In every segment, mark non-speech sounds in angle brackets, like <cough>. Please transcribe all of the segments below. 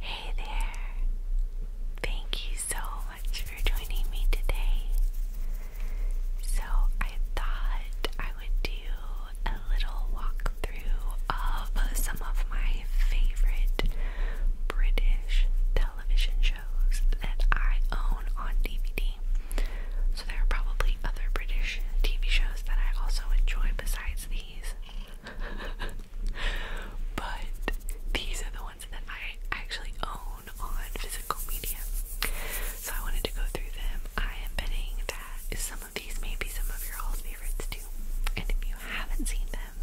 Hey there. Thank you so much for joining me today. So, I thought I would do a little walkthrough of some of my favorite British television shows that I own on DVD. So, there are probably other British TV shows that I also enjoy besides these. <laughs> but these are the ones that I actually own on physical media. So I wanted to go through them. I am betting that some of these may be some of your all favorites too. And if you haven't seen them,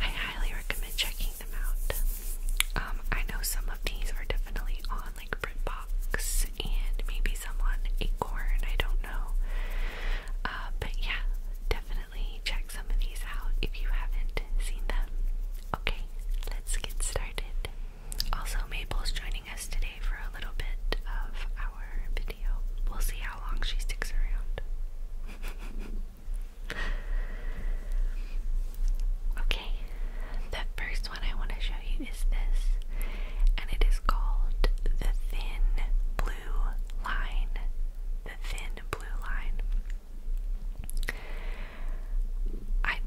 I highly recommend checking them out. Um, I know some of these are definitely on like BritBox and maybe some on Acorn, I don't know. Uh, but yeah, definitely check some of these out if you haven't seen them. Okay, let's get started. Also, Maple's joining us today for a little bit of our video. We'll see how long she sticks around. <laughs> okay, the first one I want to show you is this, and it is called The Thin Blue blue line, the thin blue line. I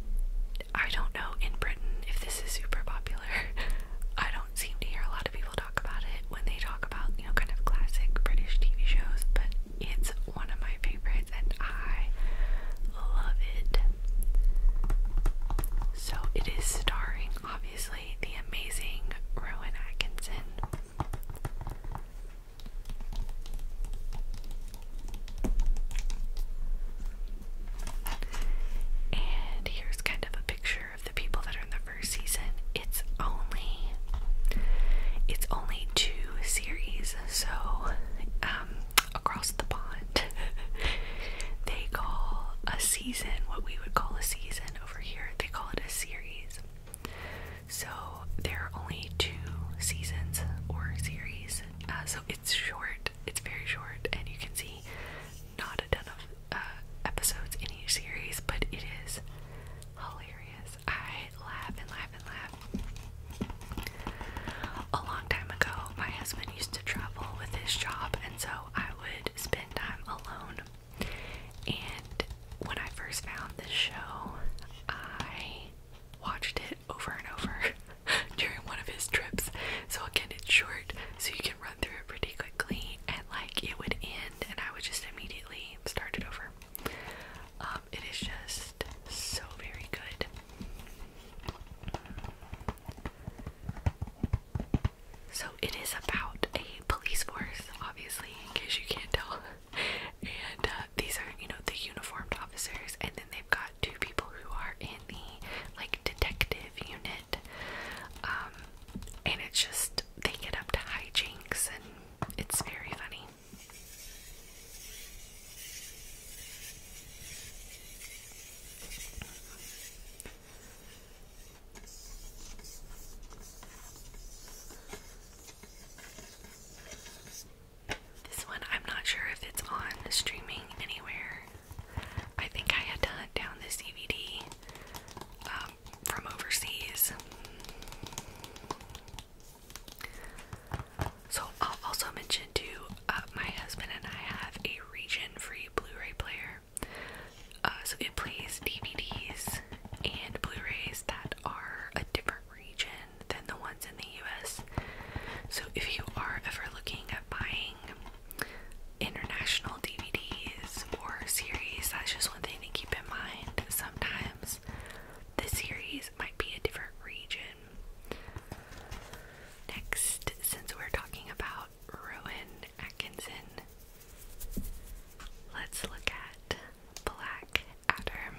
I don't know in Britain if this is super popular. <laughs> I don't seem to hear a lot of people talk about it when they talk about, you know, kind of classic British TV shows, but it's one of my favorites and I love it. So it is starring obviously the amazing Rowan Atkinson. And here's kind of a picture of the people that are in the first season. It's only it's only two series, so um, across the pond <laughs> they call a season what we would call a season over here. They call it a series. So there are only two seasons or series, uh, so it's short. It's very short, and you can see not a ton of uh, episodes in each series, but it is hilarious. I laugh and laugh and laugh. A long time ago, my husband used to travel with his job, and so I would spend time alone and when I first found this show, I watched it over and over <laughs> during one of his trips. So again, it's short, so you can run through it pretty quickly, and like it would end, and I would just immediately start it over. Um, it is just so very good. So it is about a police force, obviously, in case you can't tell. <laughs> And uh, these are, you know, the uniformed officers, and then they've got two people who are in the like detective unit. Um, and it's just they get up to hijinks, and it's very funny. This one, I'm not sure if it's on streaming anywhere. I think I had to hunt down the DVD um, from overseas. So, I'll also mention too, uh, my husband and I have a region free Blu ray player. Uh, so it plays DVDs and Blu-rays that are a different region than the ones in the US. So if you are ever looking at buying international DVDs or series, that's just one thing to keep in mind. Sometimes the series might be a different region. Next, since we're talking about ruin Atkinson. Let's look at Black Adder.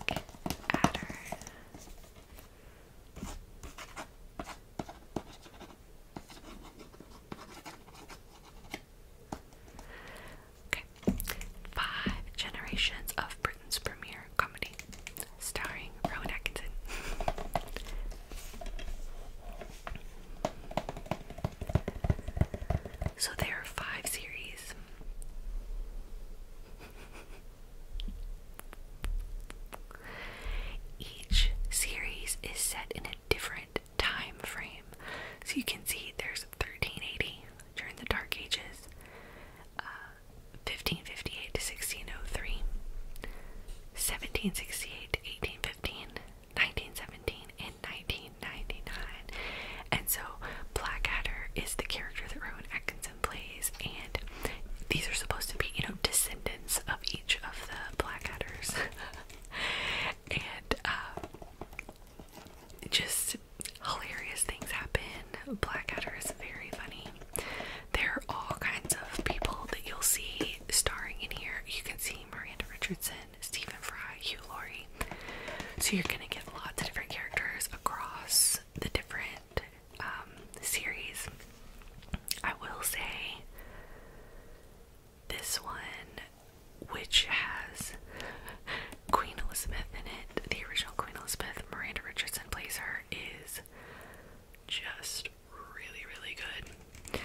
Okay. Five generations of Britain's premier comedy starring Rowan Atkinson. So there are five series. Each series is set in a different time frame. So you can see there's 1380 during the Dark Ages, um, 1558 to 1603, 1768 to 1815, 1917, and 1999. And so Blackadder is the character that Rowan Atkinson plays, and these are supposed to be, you know, descendants of each of the Blackadders. <laughs> and uh, just hilarious things happen. Blackadder is very funny. There are all kinds of people that you'll see starring in here. You can see Miranda Richardson, Stephen Fry, Hugh Laurie. So you're gonna get lots of different characters across the different um, series. I will say this one, which has Queen Elizabeth in it, the original Queen Elizabeth, Miranda Richardson plays her, is just really, really good.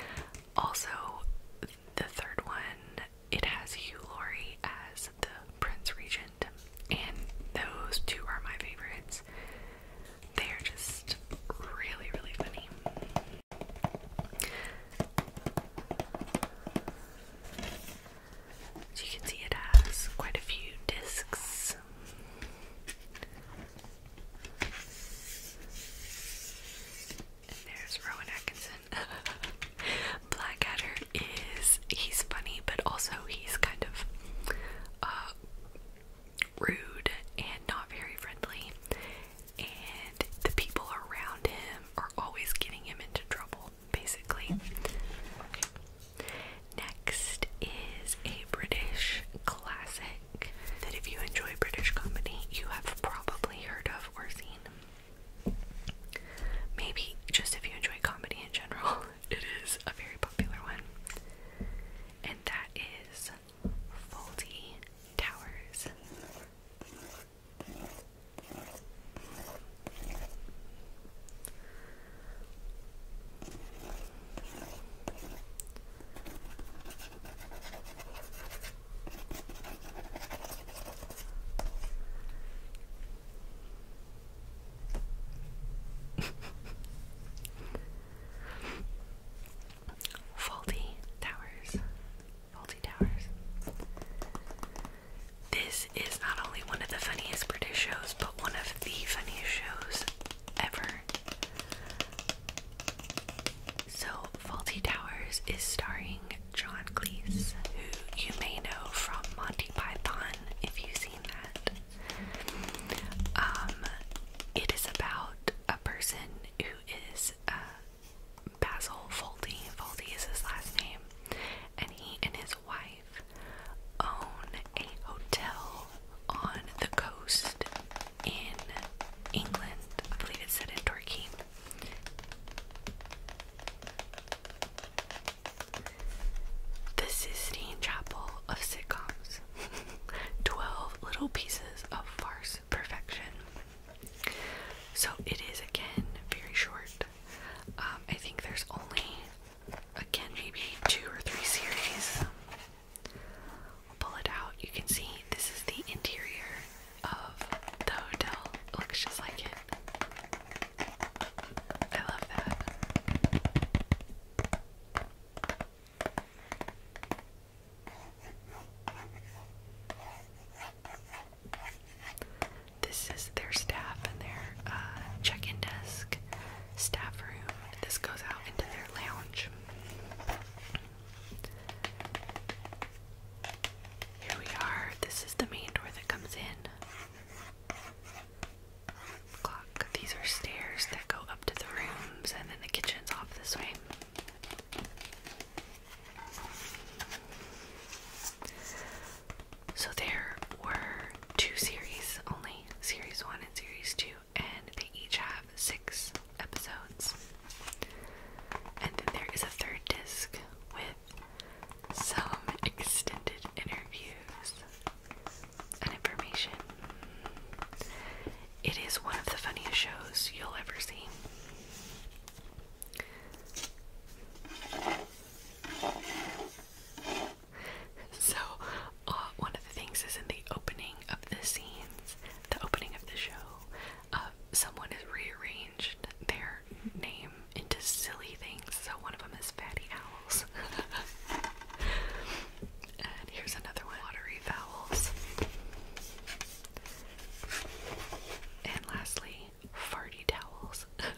Also, the third one, it has Hugh Laurie as the Prince Regent, and those two are my favorites. They're just really, really funny. As you can see, it has quite a few discs there's Rowan Atkinson. <laughs> Blackadder is he's funny, but also he's kind of uh, rude and not very friendly. And the people around him are always getting him into trouble, basically. Next is a British classic that if you enjoy British comedy, you have probably heard of or seen. Maybe just if you enjoy comedy in general, <laughs> it is a very popular one. And that is Faulty Towers. Faulty Towers. Faulty Towers. This is not only one of the funniest British shows, but one of the funniest shows ever. So, Faulty Towers is starring John Cleese, who you may know from Monty Python if you've seen that. Um, it is about a person who is uh, Basil Faulty. Faulty is his last name, and he and his wife own a hotel on the coast in England. I believe it said in Torquay. The Sistine Chapel of Sitcoms. <laughs> 12 little pieces of farce perfection. So it is again very short. Um, I think there's only again, maybe two or three series. pull it out. You can see this is the interior of the hotel. looks just like it. I love that. This is their staff and their uh, check in desk staff room. This goes out into their lounge. Here we are. This is the main door that comes in. Clock. These are stairs that go up to the rooms, and then the kitchen's off this way. So there were two series only series one and series two, and they each have six episodes. And then there is a third disc with some extended interviews and information. It is one of the funniest shows you'll ever see so, uh, one of the things is in the opening of the scenes, the opening of the show, uh, someone has rearranged their name into silly things. So, one of them is Fatty Owls. <laughs> and here's another one Watery Vowels. And lastly, Farty Towels. <laughs>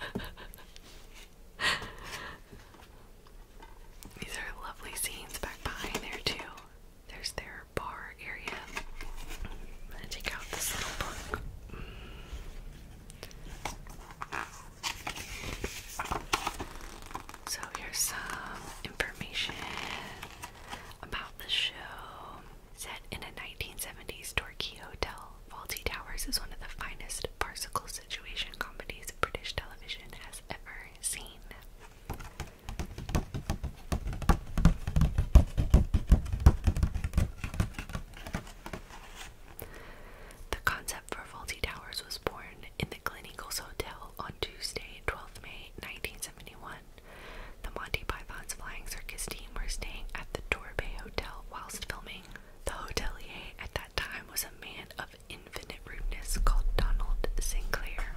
These are lovely scenes back behind there too. There's their bar area. I'm out this little book. Mm. So here's some information about the show. Set in a 1970s Torquay hotel, Faulty Towers is one of the finest farcical situation combinations 1970s British television has ever seen. The concept for faulty towers was born in the Glen Eagles Hotel on Tuesday, 12 May 1971. The Monty Python's Flying Circus team were staying at the Torbay Hotel whilst filming. The hotelier at that time was a man of infinite rudeness called Donald Sinclair.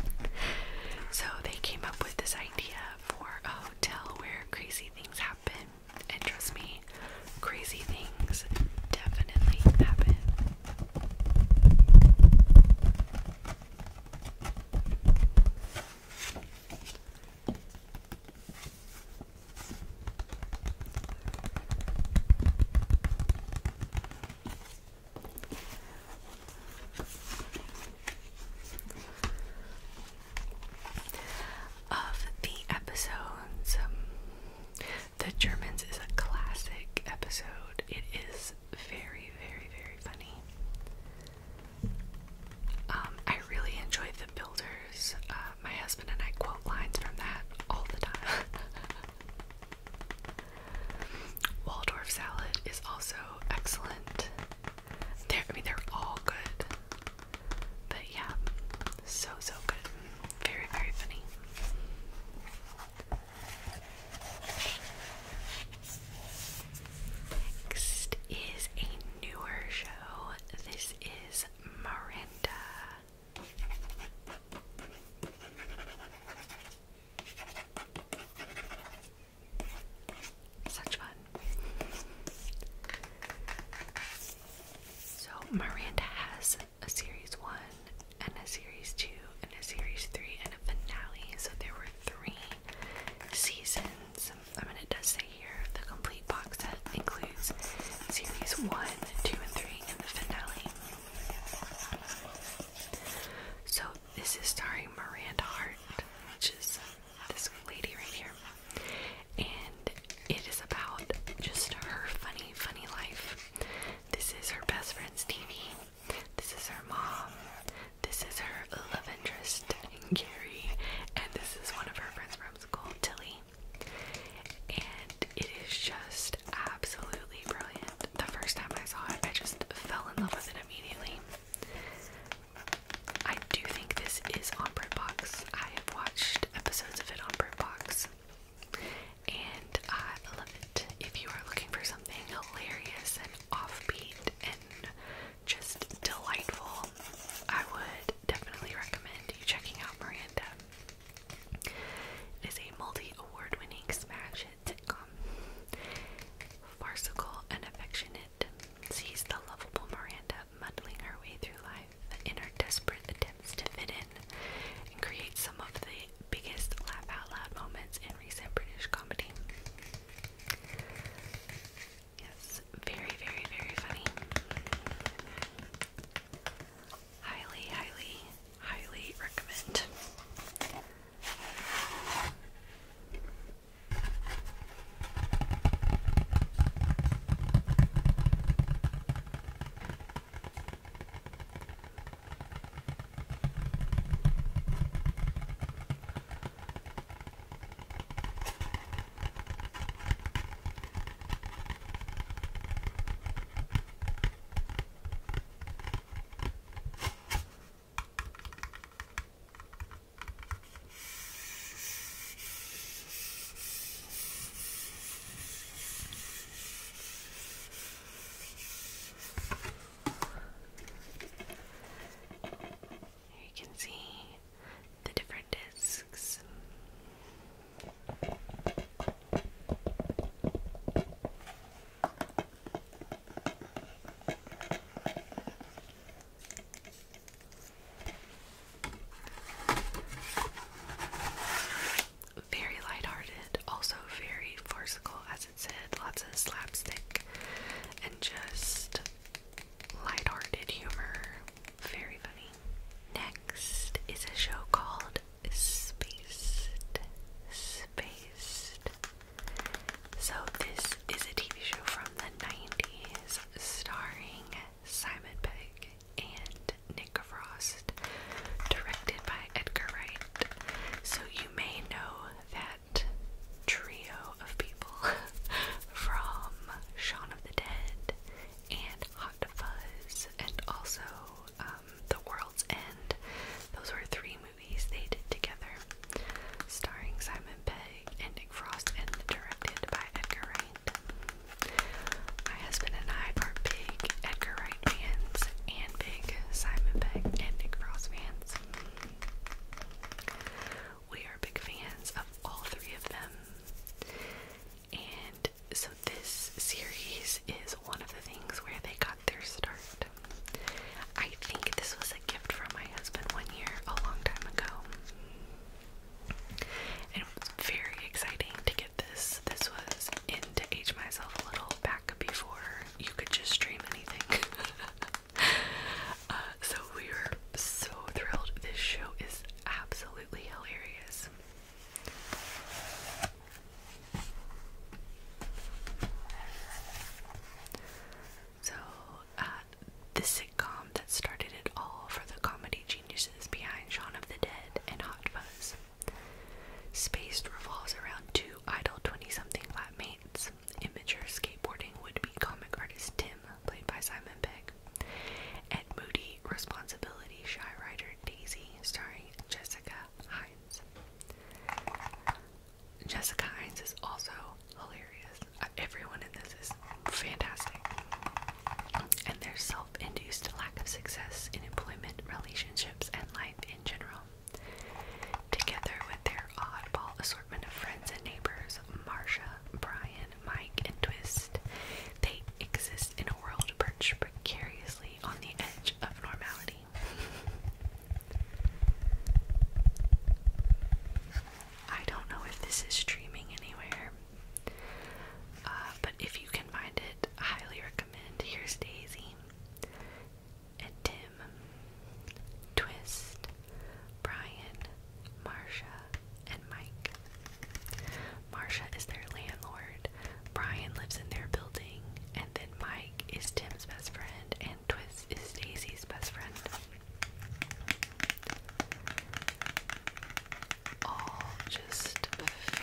<laughs> so they came up with this idea for a hotel where crazy things happen. And trust me, crazy things definitely happen. Of the episodes, um, The Germans is a classic episode. It is very, very, very funny. Um, I really enjoy Builders. Uh, my husband and I quote lines from that all the time. <laughs> Waldorf salad is also excellent. They're, I mean, they're all good. But yeah, so, so good. Very, very funny. Next is a newer show. This is Miranda. Such fun. So, Miranda has a series one, and a series two, and a series three, and a finale. So, there were three seasons. I mean, it does say here the complete complete box set includes series 1, 2, and 3, and the finale. So, this is starring Miranda Hart, which is this lady right here. And it is about just her funny, funny life. This is her best friend's TV. This is her mom. This is her love interest, Gary. And this is one of her friends from school, Tilly and it is just absolutely brilliant. The first time I saw it, I just fell in love with it immediately. I do think this is on BritBox. I have watched episodes of it on BritBox, and I love it. If you are looking for something hilarious and offbeat and just delightful, I would definitely recommend you checking out Miranda. It is a multi-award winning smash hit sitcom. Farcical and affectionate, sees the lovable Miranda muddling her way through life in her desperate attempts to fit in and create some of the biggest laugh out loud moments in recent British comedy. Yes, very, very, very funny. Highly, highly, highly recommend. There you can see the different for discs. Very lighthearted, also very farcical, as it said, lots of slapstick and just lighthearted humor. Very funny. Next is a show called *Space*. So, this is a TV show from the 90s starring Simon Pegg and Nick Frost, directed by Edgar Wright. So, you may know that trio of people <laughs> from Shaun of the Dead and Hot Fuzz, and also um, The World's End. Those were three movies they did together, starring Simon Pegg and Nick Frost, and directed by Edgar Wright. My husband and I are big Edgar Wright fans and big Simon Pegg and Nick Frost fans. We are big fans of all three of them. And so this series is one of the things where they got their start. I think this was a gift from my husband one year, a long time ago. And it was very exciting to get this. This was into age myself a little back before you could just stream anything. <laughs> Uh, so we were so thrilled. This show is absolutely hilarious. So, uh, the sitcom that started it all for the comedy geniuses behind Shaun of the Dead and Hot Fuzz. Spaced revolves around two idle 20 something flatmates, immature skateboarding would be comic artist Tim, played by Simon Pegg, Ed Moody, Responsibility, Shy Rider, Daisy, starring Jessica Hines. Jessica Hines is also hilarious. Uh, everyone in this is fantastic. And their self induced lack of success in employment, relationships, and life in general. Together with their oddball assortment of friends and neighbors, Marsha, Brian, Mike, and Twist. They exist in a world perched precariously on the edge of normality. I don't know if this is streaming anywhere, uh, but if you can find it, I highly recommend. Here's Daisy and Tim, Twist, Brian, Marsha, and Mike. Marcia is their landlord, Brian lives in their building, and then Mike is Tim's best friend, and Twist is Daisy's best friend. All just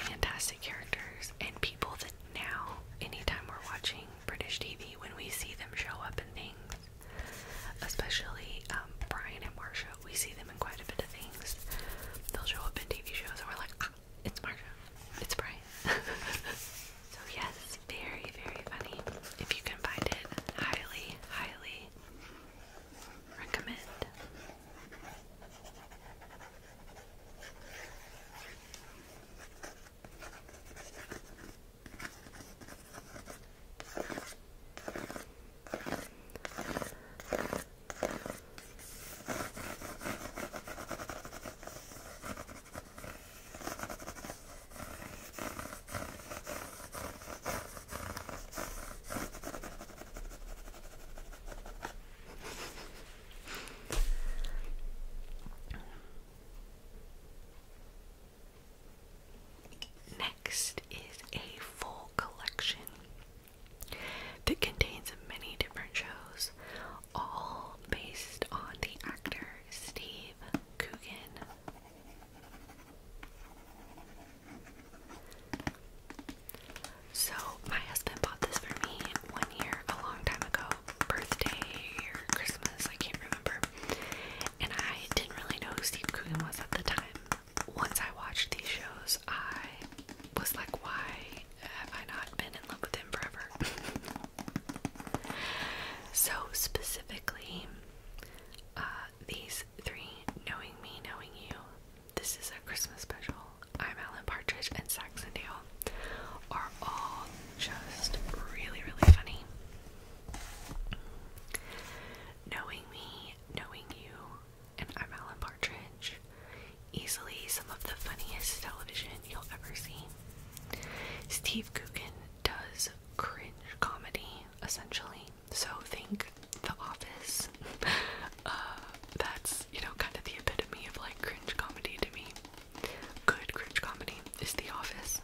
fantastic characters and people that now, anytime we're watching British TV, when we see them show up in things, especially um, Brian and Marcia we see them in quite a bit of things. They'll show up in TV shows, and we're like, ah, it's Marsha, it's Brian. <laughs> so yes, very, very funny. If you can find it, highly, highly recommend. Next is a full collection that contains many different shows, all based on the actor Steve Coogan. So, my husband bought this for me one year, a long time ago, birthday or Christmas, I can't remember. And I didn't really know who Steve Coogan was at the time once I watched these shows, I was like, why have I not been in love with him forever? <laughs> so, specifically, uh, these three Knowing Me, Knowing You, This is a Christmas special, I'm Alan Partridge, and Saxondale are all just really, really funny. Knowing Me, Knowing You and I'm Alan Partridge. Easily some of the funniest television you'll ever see. Steve Coogan does cringe comedy, essentially. So think The Office. <laughs> Uh, that's, you know, kind of the epitome of like cringe comedy to me. Good cringe comedy is The Office.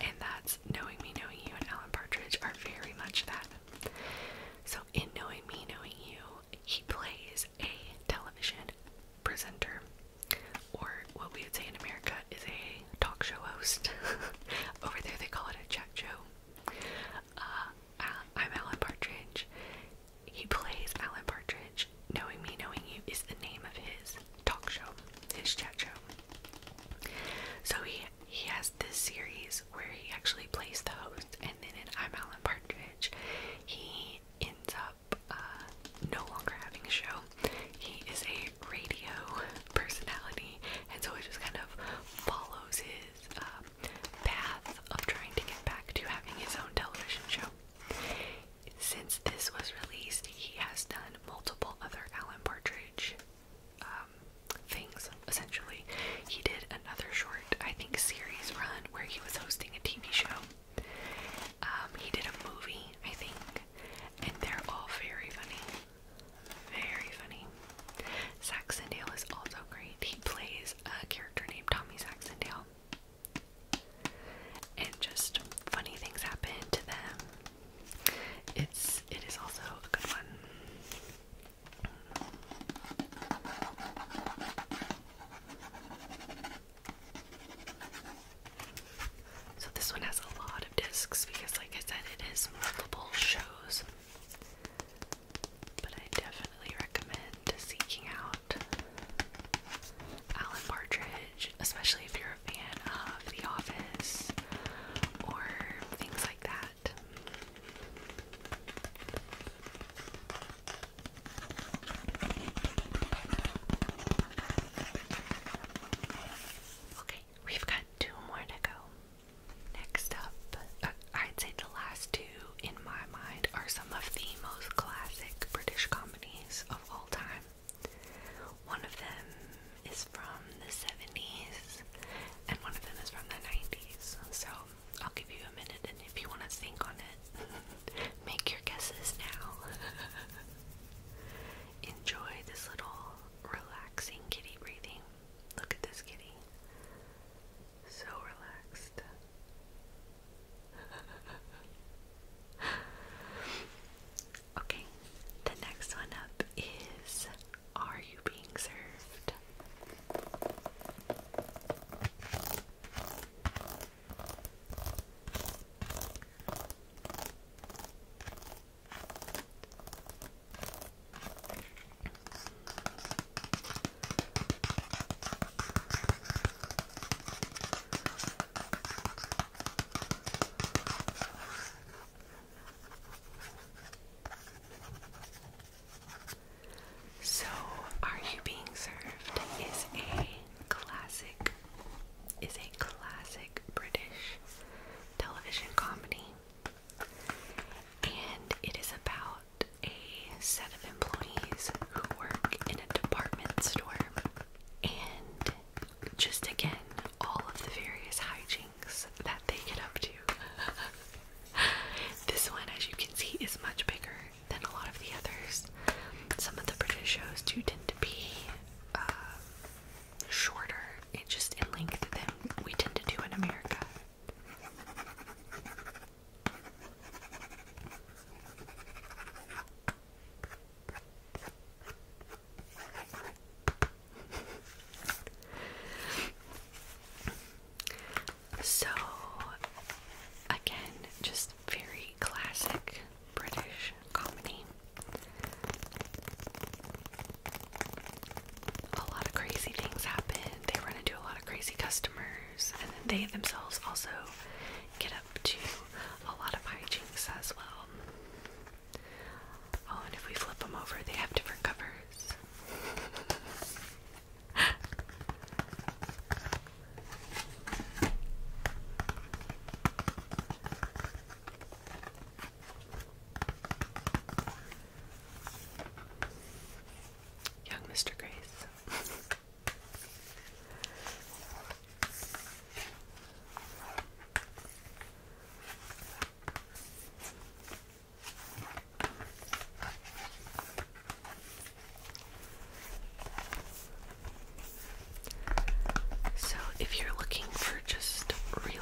And that's Knowing Me, Knowing You, and Alan Partridge are very much that. So, in Knowing Me, Knowing You, he plays a television presenter, or what we would say in America is a talk show host. <laughs> Over there, they call it a chat show. Uh, I'm Alan Partridge. He plays Alan Partridge. Knowing Me, Knowing You is the name of his talk show, his chat show. So he he has this series where he actually plays the host, and then in I'm Alan Partridge, he ends up uh, no longer having a show. He is a radio personality, and so it just kind of follows his um, path of trying to get back to having his own television show. Since this was released, he has done multiple other Alan Partridge um, things, essentially. He did another short, I think, series run where he was hosting a TV show. Um, he did a movie, I think, and they're all very funny. Very funny. Saxondale is also great. He plays a character named Tommy Saxondale. And just funny things happen to them. It's it is also a good one. So this one has a lot of discs because like I said it is multiple shows. But I definitely recommend seeking out Alan Partridge, especially if you're a fan of The Office or things like that. Okay, we've got two more to go. Next up, uh, I'd say the last two in my mind are some of the most classic British comedies of all time. One of them is from the 70s and one of them is from the 90s. So I'll give you a minute, and if you want to think on it, <laughs> make your guesses now. <laughs> Enjoy this little relaxing kitty breathing. Look at this kitty. So relaxed. <laughs> okay, the next one up is are you being served? So, Are You Being Served is a classic is a classic British television comedy. And it is about a set of employees who work in a department store. And just again, all of the various hygiene that they get up to. this one, as you can see, is much bigger than a lot of the others. Some of the British shows do tend to be uh, shorter, it just in length than we tend to do in America so, again, just very classic British comedy. A lot of crazy things happen. They run into a lot of crazy customers, and they themselves also get up to a lot of hijinks as well. Oh, and if we flip them over, they have different covers. Young Mr. Grace. So, if you're looking for just really,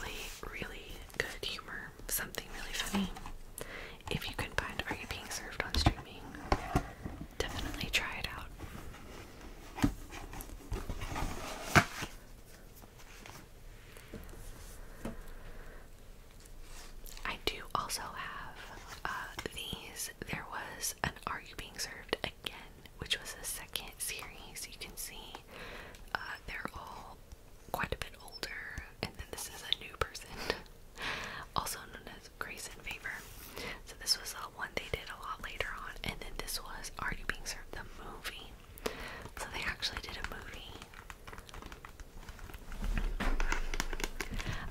really good humor, something really funny, if you can find Are You Being Served on streaming, definitely try it out. I do also have uh, these. There was an Are You Being Served Again, which was a second series. You can see uh, they're all quite a bit older, and then this is a new person, <laughs> also known as Grace and Favor. So, this was the one they did a lot later on, and then this was Are You Being Served the movie. So, they actually did a movie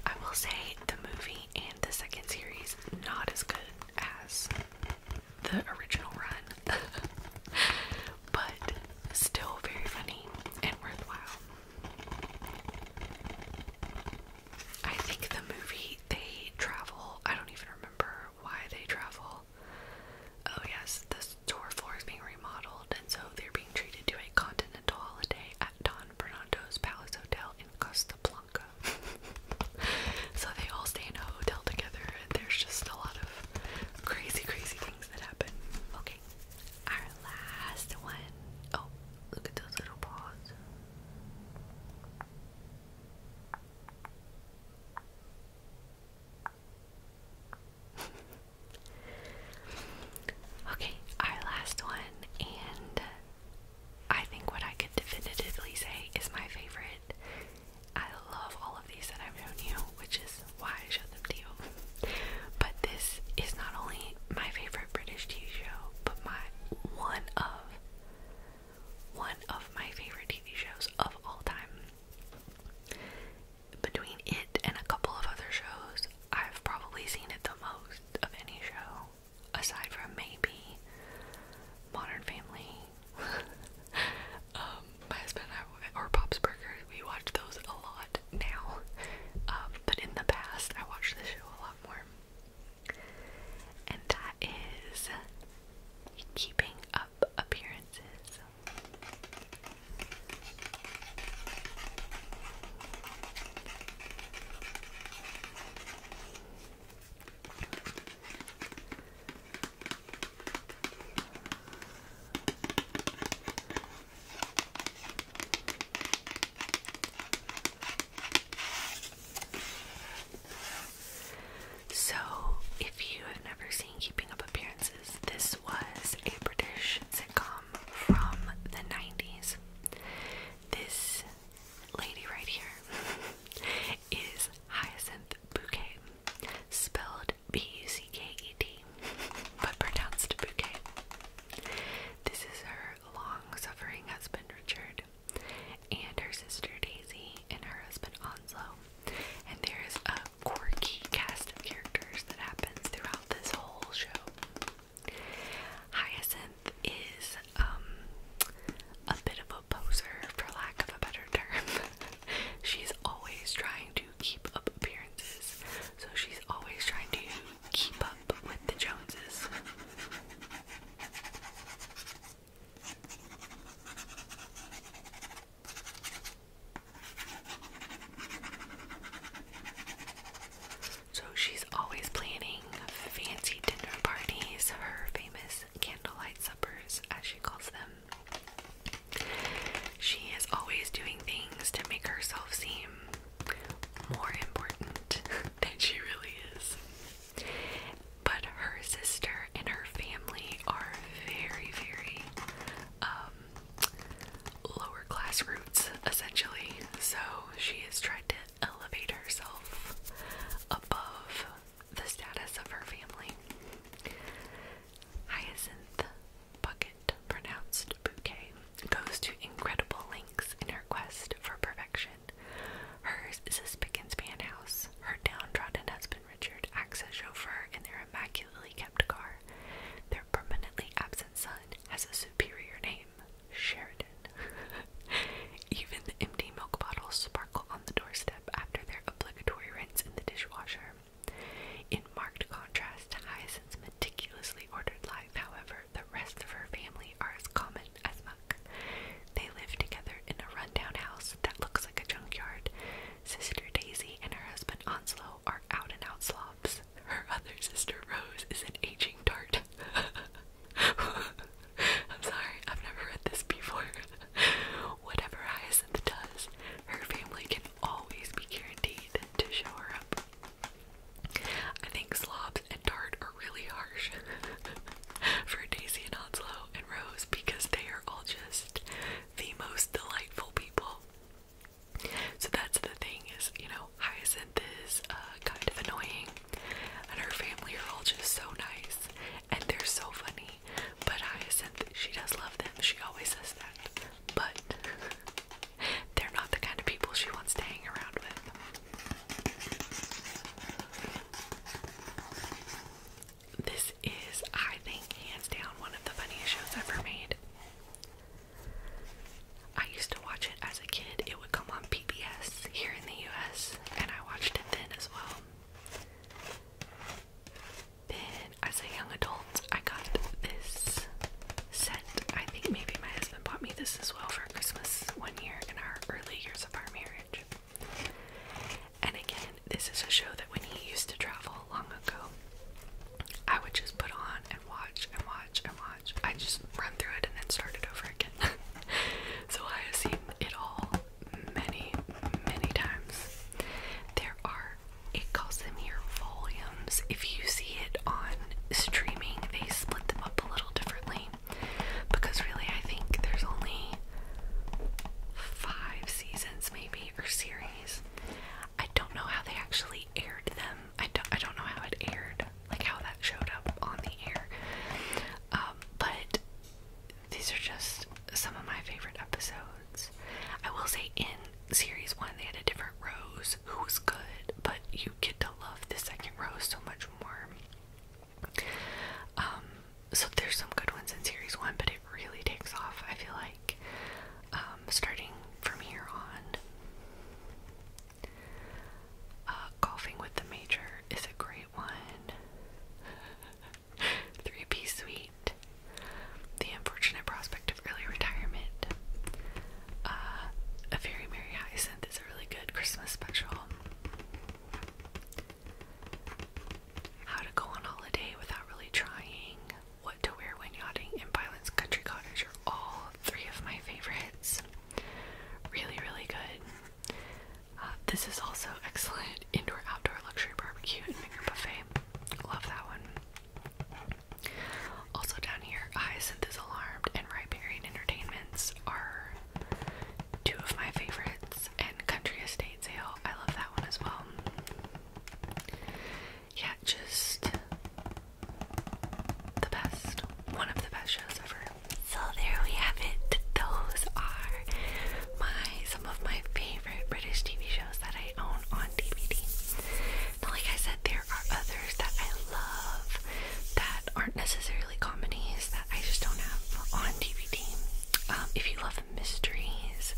I will say the movie and the second series not as good as the original run, <laughs> but still very funny and worthwhile. I think the movie they travel, I don't even remember why they travel people. Oh, yes, the store floor is being remodeled, and so they're being treated to a continental holiday at Don Bernardo's Palace Hotel in Costa Blanca. <laughs> so they all stay in a hotel together, and there's just a lot of crazy, crazy things that happen. Okay, our last one. Oh, look at those little paws. <laughs> okay, our last one, and I think what I could definitively say is my favorite. I love all of these that I've shown you, which is why I showed them to you. But this is not only my favorite British TV show, but my one of one of my favorite TV shows of all time between it and a couple of other shows, I've probably seen it the most of any show, aside from maybe Modern Family. <laughs> Um, my husband or Pop's Burgers, we watch those a lot now. Um, but in the past, I watched the show a lot more. And that is Keeping Up Appearances so. if you have never seen Keeping Up Appearances, this was a British sitcom from the 90s. This lady right here <laughs> is Hyacinth Bouquet, spelled B U C K E T, but pronounced Bouquet. This is her long suffering husband Richard, and her sister Daisy, and her husband Onslow. And there is a quirky cast of characters that happens throughout this whole show. Hyacinth is um, a bit of a poser, for lack of a better term. <laughs> she's always trying to keep up appearances, so she's always trying to keep up with the Joneses. So she's always planning fancy dinner parties, her famous candlelight suppers, as she calls them. She is always doing things to make herself seem more important <laughs> than she really is. But her sister and her family are very, very um, lower class roots, essentially. So she has tried to elevate herself above the status of her family. Hyacinth Bucket, pronounced Bouquet, goes to incredible lengths in her quest for perfection. Hers is a spick and span house. Her downtrodden husband Richard acts as chauffeur in their immaculately kept car. Their permanently absent son has a superior name, Sheridan. <laughs> Even the empty milk bottles sparkle on the doorstep after their obligatory rinse in the dishwasher. In marked contrast to Hyacinth's meticulously ordered life, however, the rest of her family are as common as muck. They live together in a rundown house that looks like a junkyard, Sister Daisy and her husband Onslow are out and out slobs. Her other sister Rose is an aging tart. <laughs> I'm sorry, I've never read this before. <laughs> Whatever Hyacinth does, her family can always be guaranteed to show her up. I think slobs and tart are really harsh <laughs> for Daisy and Onslow and Rose because they are all just the most delightful people. So that's the thing is, you know, Hyacinth is uh, kind of annoying, and her family are all just so nice, and they're so funny. But Hyacinth, she does love them. She always says that. But <laughs> they're not the kind of people she wants to hang around with. This is, I think, hands down one of the funniest shows ever made. I used to watch it as a kid. It would come on PBS here in the US, and I watched it then as well. Then, as a young adult, I got this set. I think maybe my husband bought me this as well for Christmas one year in our early years of our marriage. And again, this is a show that when he used to travel long ago, I would just put on and watch and watch and watch. I just run through it and then start it over again. <laughs> so I have seen it all many, many times. There are, it calls them here volumes. If you see it on streaming, they split them up a little differently because really I think there's only five seasons maybe or series I don't know how they actually aired them. I don't I don't know how it aired, like how that showed up on the air. Um, but these are just some of my favorite episodes. I will say in series one they had a different Rose who was good, but you get to love the second Rose so much more. Um, so there's some good ones in series one, but it really takes off. I feel like um, starting from here on, uh, golfing with the major is a great one. <laughs> Three P suite. The unfortunate prospect of early retirement. Uh, a very merry hyacinth is a really good Christmas special. How to go on holiday without really trying. What to Wear When Yachting, and Violet's Country Cottages are all three of my favorites. Really, really good. Uh, this is also excellent indoor outdoor luxury barbecue and finger buffet. Love that one. Also down here, Hyacinth is Alarmed and Riparian Entertainments are two of my favorites, and Country Estate I love that one as well yeah, just the best. One of the best shows ever. So there we have it. Those are my some of my favorite British TV shows that I own on DVD. Now, like I said, there are others that I love that aren't necessarily comedies that I just don't have on DVD. Um, if you love mysteries.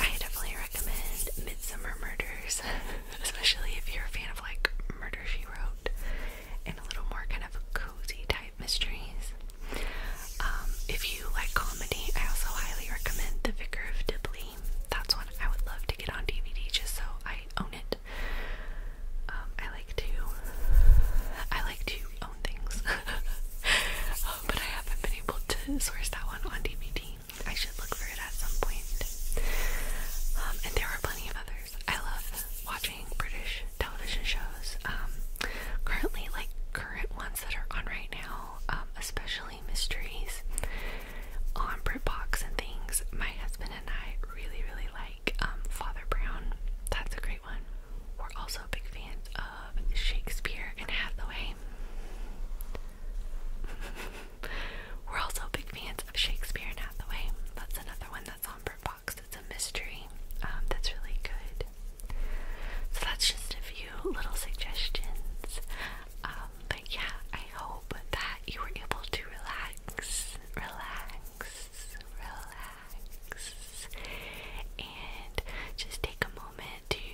I definitely recommend Midsummer Murders, <laughs> especially if you're a fan of like Murder She Wrote and a little more kind of cozy type mysteries. Um, if you like comedy, I also highly recommend The Vicar of Dibley. That's one I would love to get on DVD just so I own it. Um, I like to I like to things. <laughs> Um, but I haven't been able to source that one on DVD. I should look for it at some point. Um, and there are plenty of others. I love watching British television shows. Um, currently, like current ones that are on right now, especially mysteries on BritBox and things. My husband and I really, really like Father Brown. That's a great one. We're also big fans Shakespeare and Hathaway. <laughs> We're also big fans of Shakespeare and Hathaway. That's another one that's on Bird Box. It's a mystery um, that's really good. So that's just a few little suggestions. Um, but yeah, I hope that you were able to relax, relax, relax, and just take a moment to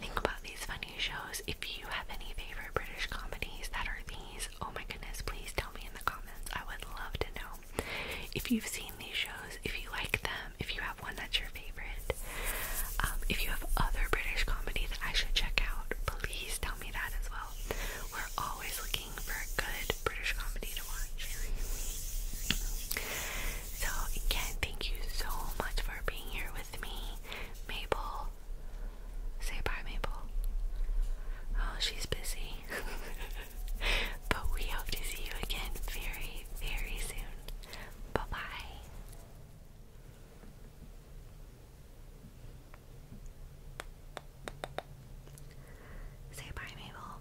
think about these funny shows. If you have any favorite British comedies that are these, oh my goodness, please tell me in the comments. I would love to know if you've seen these shows, if you like them, if you have one that's your favorite. Um, if you have other British comedy that I should check out, please tell me that as well. We're always looking for a good British comedy to watch. So, again, thank you so much for being here with me, Mabel. Say bye, Mabel. Oh, she's busy. <laughs> but we hope to see you again very, very soon. Bye bye. Say bye, Mabel.